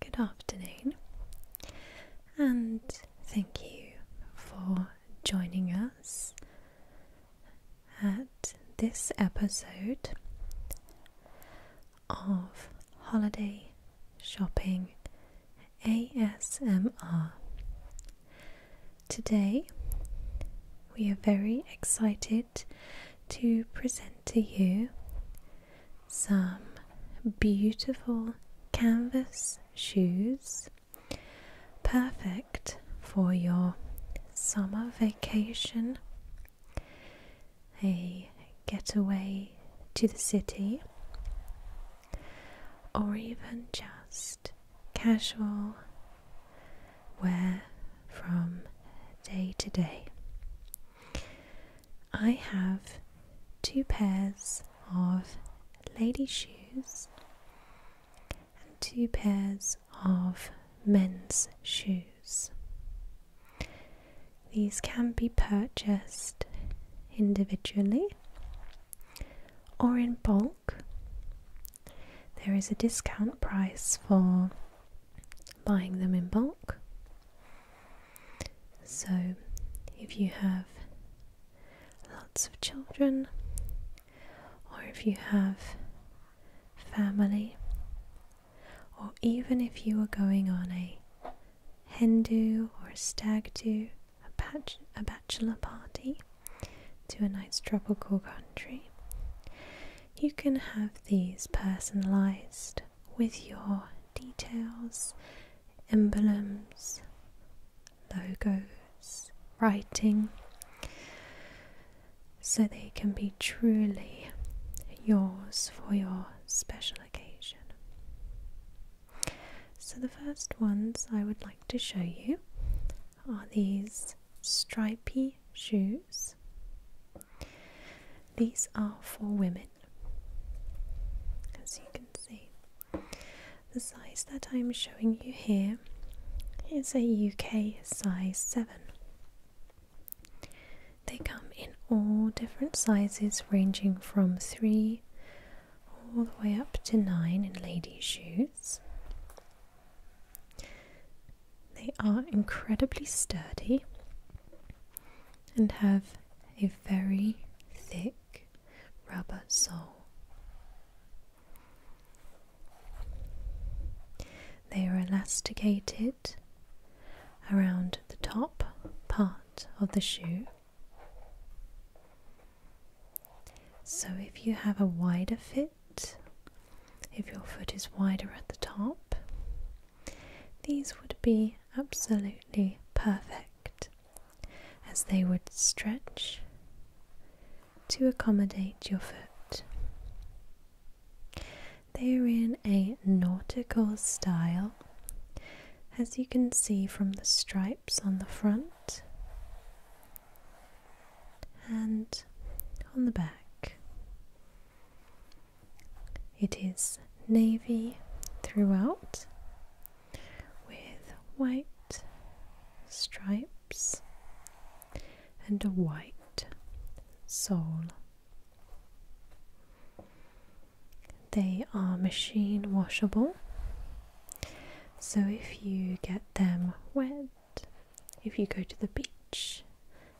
Good afternoon, and thank you for joining us at this episode of Holiday Shopping ASMR. Today, we are very excited to present to you some beautiful canvas shoes, perfect for your summer vacation, a getaway to the city, or even just casual wear from day to day. I have two pairs of lady shoes and two pairs of men's shoes. These can be purchased individually or in bulk. There is a discount price for buying them in bulk. So, if you have lots of children, or if you have family, or even if you are going on a hen do or stag do, a bachelor party to a nice tropical country, you can have these personalized with your details, emblems, logos, writing, so they can be truly yours for your special occasion. So, the first ones I would like to show you are these stripy shoes. These are for women, as you can see. The size that I'm showing you here is a UK size 7. They come in all different sizes, ranging from 3 all the way up to 9 in ladies' shoes. They are incredibly sturdy and have a very thick rubber sole. They are elasticated around the top part of the shoe. So, if you have a wider fit, if your foot is wider at the top. These would be absolutely perfect as they would stretch to accommodate your foot. They are in a nautical style, as you can see from the stripes on the front and on the back. It is navy throughout with white stripes and a white sole. They are machine washable, so if you get them wet, if you go to the beach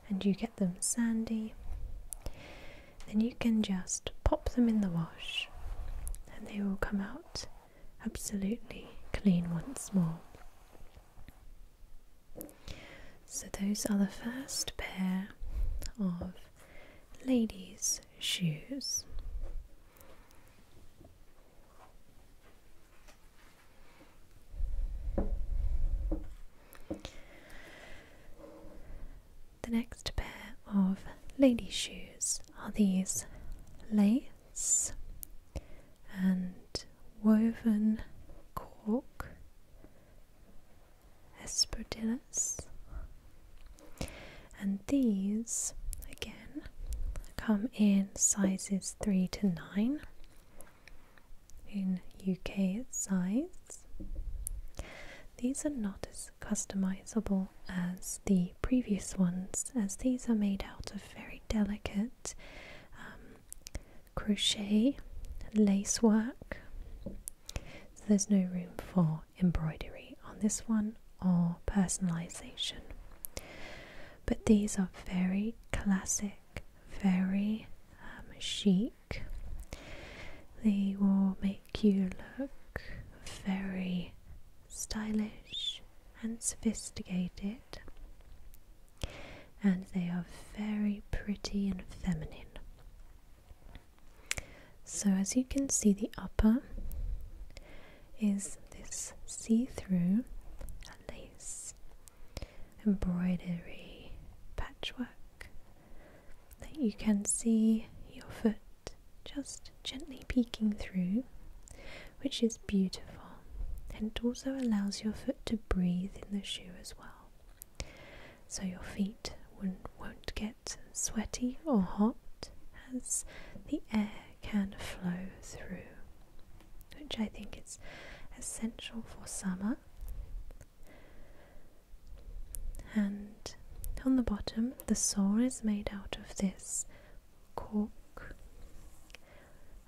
and you get them sandy, then you can just pop them in the wash and they will come out absolutely clean once more. So, those are the first pair of ladies' shoes. The next pair of lady shoes are these lace and woven cork espadrilles and these again come in sizes 3 to 9 in UK size. These are not as customizable as the previous ones, as these are made out of very delicate um, crochet lace work. So there's no room for embroidery on this one or personalization. But these are very classic very um, chic. They will make you look very stylish and sophisticated, and they are very pretty and feminine. So, as you can see, the upper is this see through lace embroidery, patchwork that you can see your foot just gently peeking through, which is beautiful. And it also allows your foot to breathe in the shoe as well. So your feet won't get sweaty or hot as the air can flow through which I think is essential for summer. And on the bottom, the sole is made out of this cork,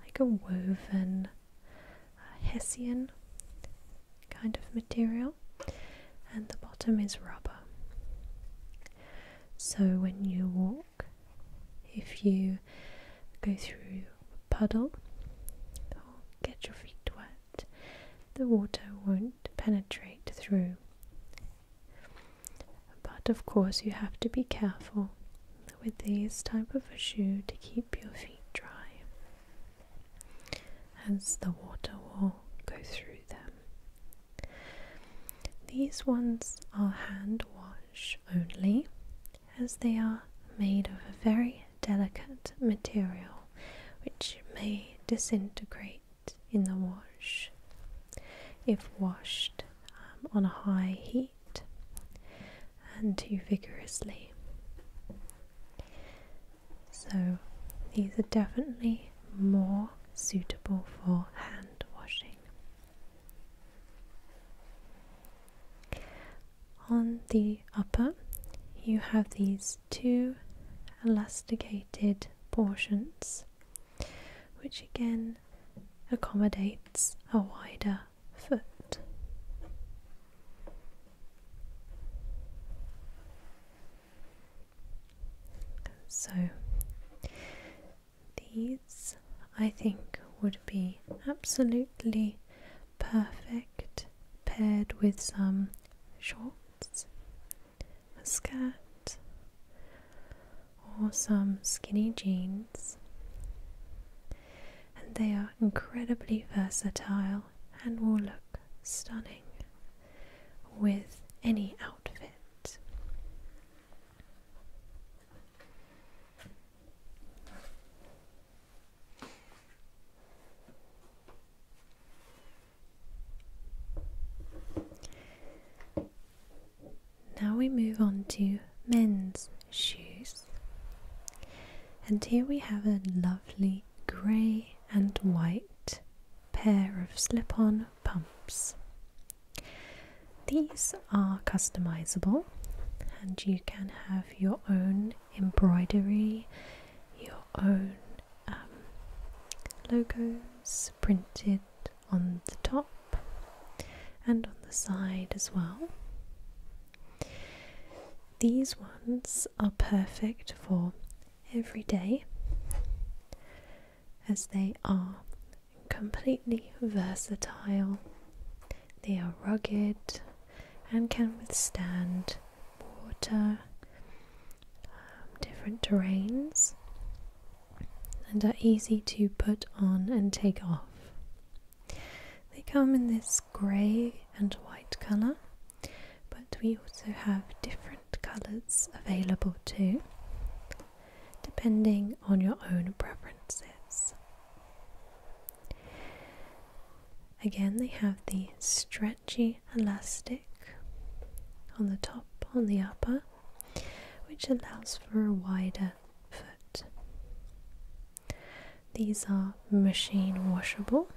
like a woven uh, hessian kind of material, and the bottom is rubber. So when you walk, if you go through puddle or get your feet wet, the water won't penetrate through. But of course, you have to be careful with these type of a shoe to keep your feet dry, as the water will go through them. These ones are hand wash only, as they are made of a very delicate material which may disintegrate in the wash if washed um, on a high heat and too vigorously. So these are definitely more suitable for hand washing. On the upper, you have these two elasticated portions, which again accommodates a wider foot. So these I think would be absolutely perfect paired with some shorts, a skirt, or some skinny jeans. And they are incredibly versatile and will look stunning with any outfit. Now we move on to men's shoes, and here we have a lovely grey and white pair of slip on pumps. These are customizable and you can have your own embroidery, your own um, logos printed on the top and on the side as well. These ones are perfect for every day as they are completely versatile. They are rugged and can withstand water, um, different terrains, and are easy to put on and take off. They come in this grey and white colour, but we also have different colours available too depending on your own preferences. Again, they have the stretchy elastic on the top, on the upper, which allows for a wider foot. These are machine washable,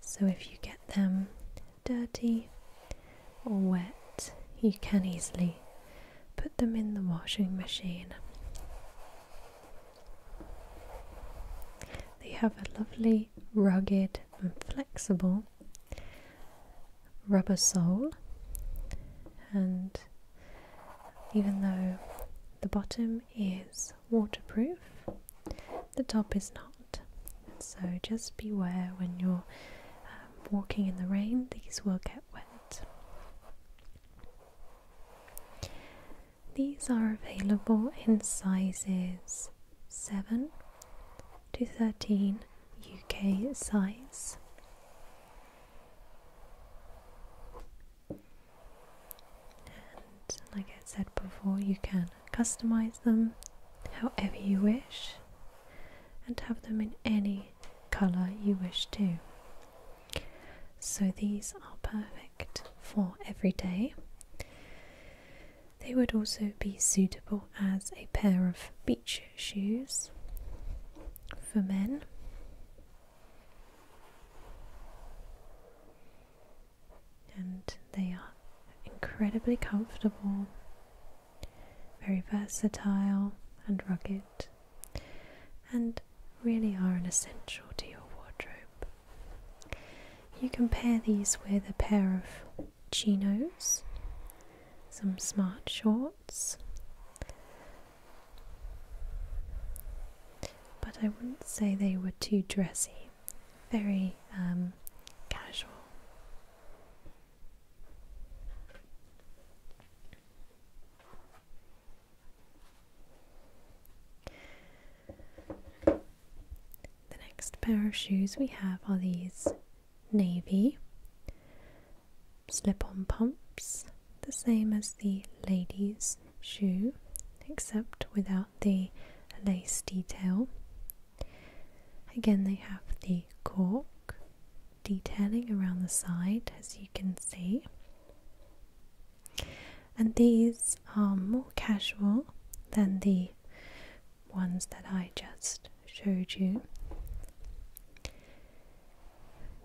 so if you get them dirty, or wet, you can easily put them in the washing machine. They have a lovely, rugged, and flexible rubber sole, and even though the bottom is waterproof, the top is not. So just beware when you're walking in the rain, these will get wet. These are available in sizes 7 to 13 UK size. And like I said before, you can customize them however you wish and have them in any colour you wish to. So these are perfect for every day. They would also be suitable as a pair of beach shoes for men. And they are incredibly comfortable very versatile and rugged, and really are an essential to your wardrobe. You can pair these with a pair of chinos, some smart shorts, but I wouldn't say they were too dressy, very um, casual. The next pair of shoes we have are these navy slip on pumps, the same as the lady's shoe, except without the lace detail. Again, they have the cork detailing around the side, as you can see. And these are more casual than the ones that I just showed you.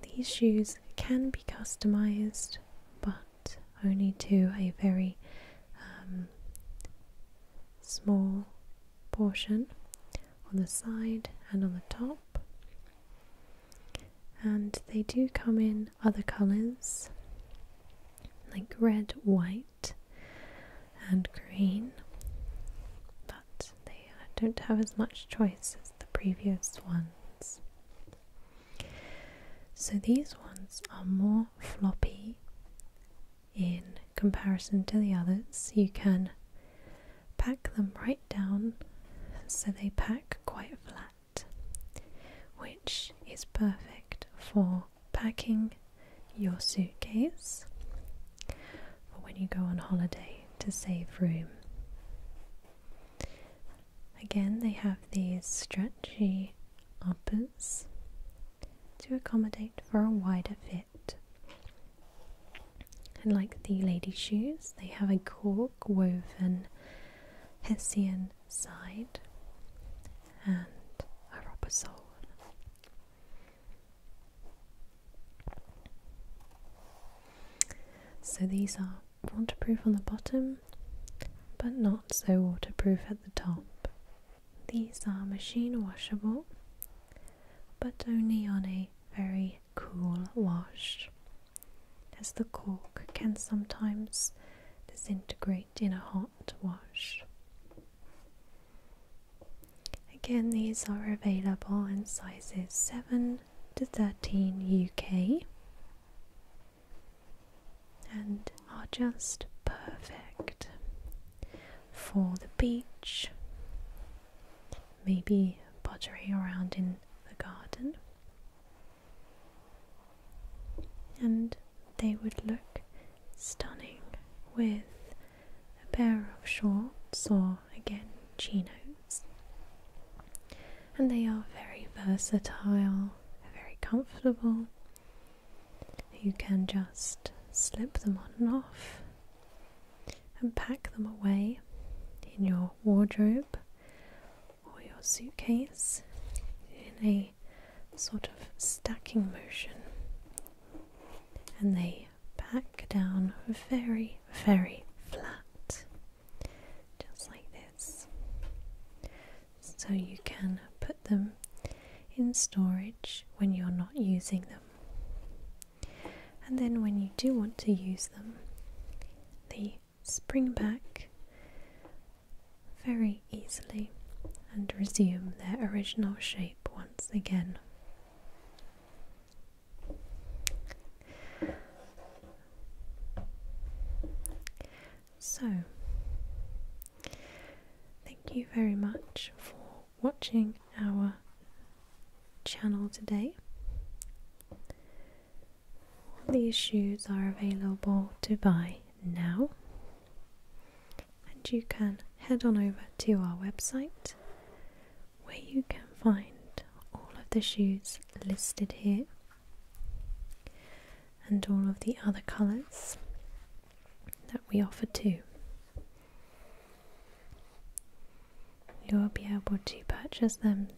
These shoes can be customized, but only to a very um, small portion on the side and on the top. And they do come in other colours like red, white, and green, but they don't have as much choice as the previous ones. So these ones are more floppy in comparison to the others, you can pack them right down so they pack quite flat, which is perfect for packing your suitcase when you go on holiday to save room. Again, they have these stretchy uppers to accommodate for a wider fit. And like the ladies' shoes, they have a cork woven Hessian side and a rubber sole. So these are waterproof on the bottom, but not so waterproof at the top. These are machine washable, but only on a very cool wash, as the cork can sometimes disintegrate in a hot wash. Again, these are available in sizes 7 to 13 UK and are just perfect for the beach, maybe pottering around in the garden. And they would look stunning with a pair of shorts or again chinos. And they are very versatile, very comfortable, you can just slip them on and off and pack them away in your wardrobe or your suitcase in a sort of stacking motion. And they pack down very, very flat, just like this. So you can put them in storage when you're not using them. And then when you do want to use them, they spring back very easily and resume their original shape once again. So, thank you very much for watching our channel today. These shoes are available to buy now, and you can head on over to our website where you can find all of the shoes listed here and all of the other colours that we offer too. You'll be able to purchase them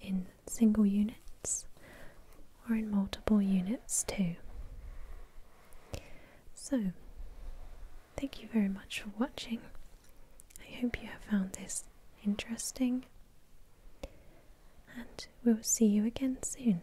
in single units or in multiple units too. So, thank you very much for watching. I hope you have found this interesting, and we'll see you again soon.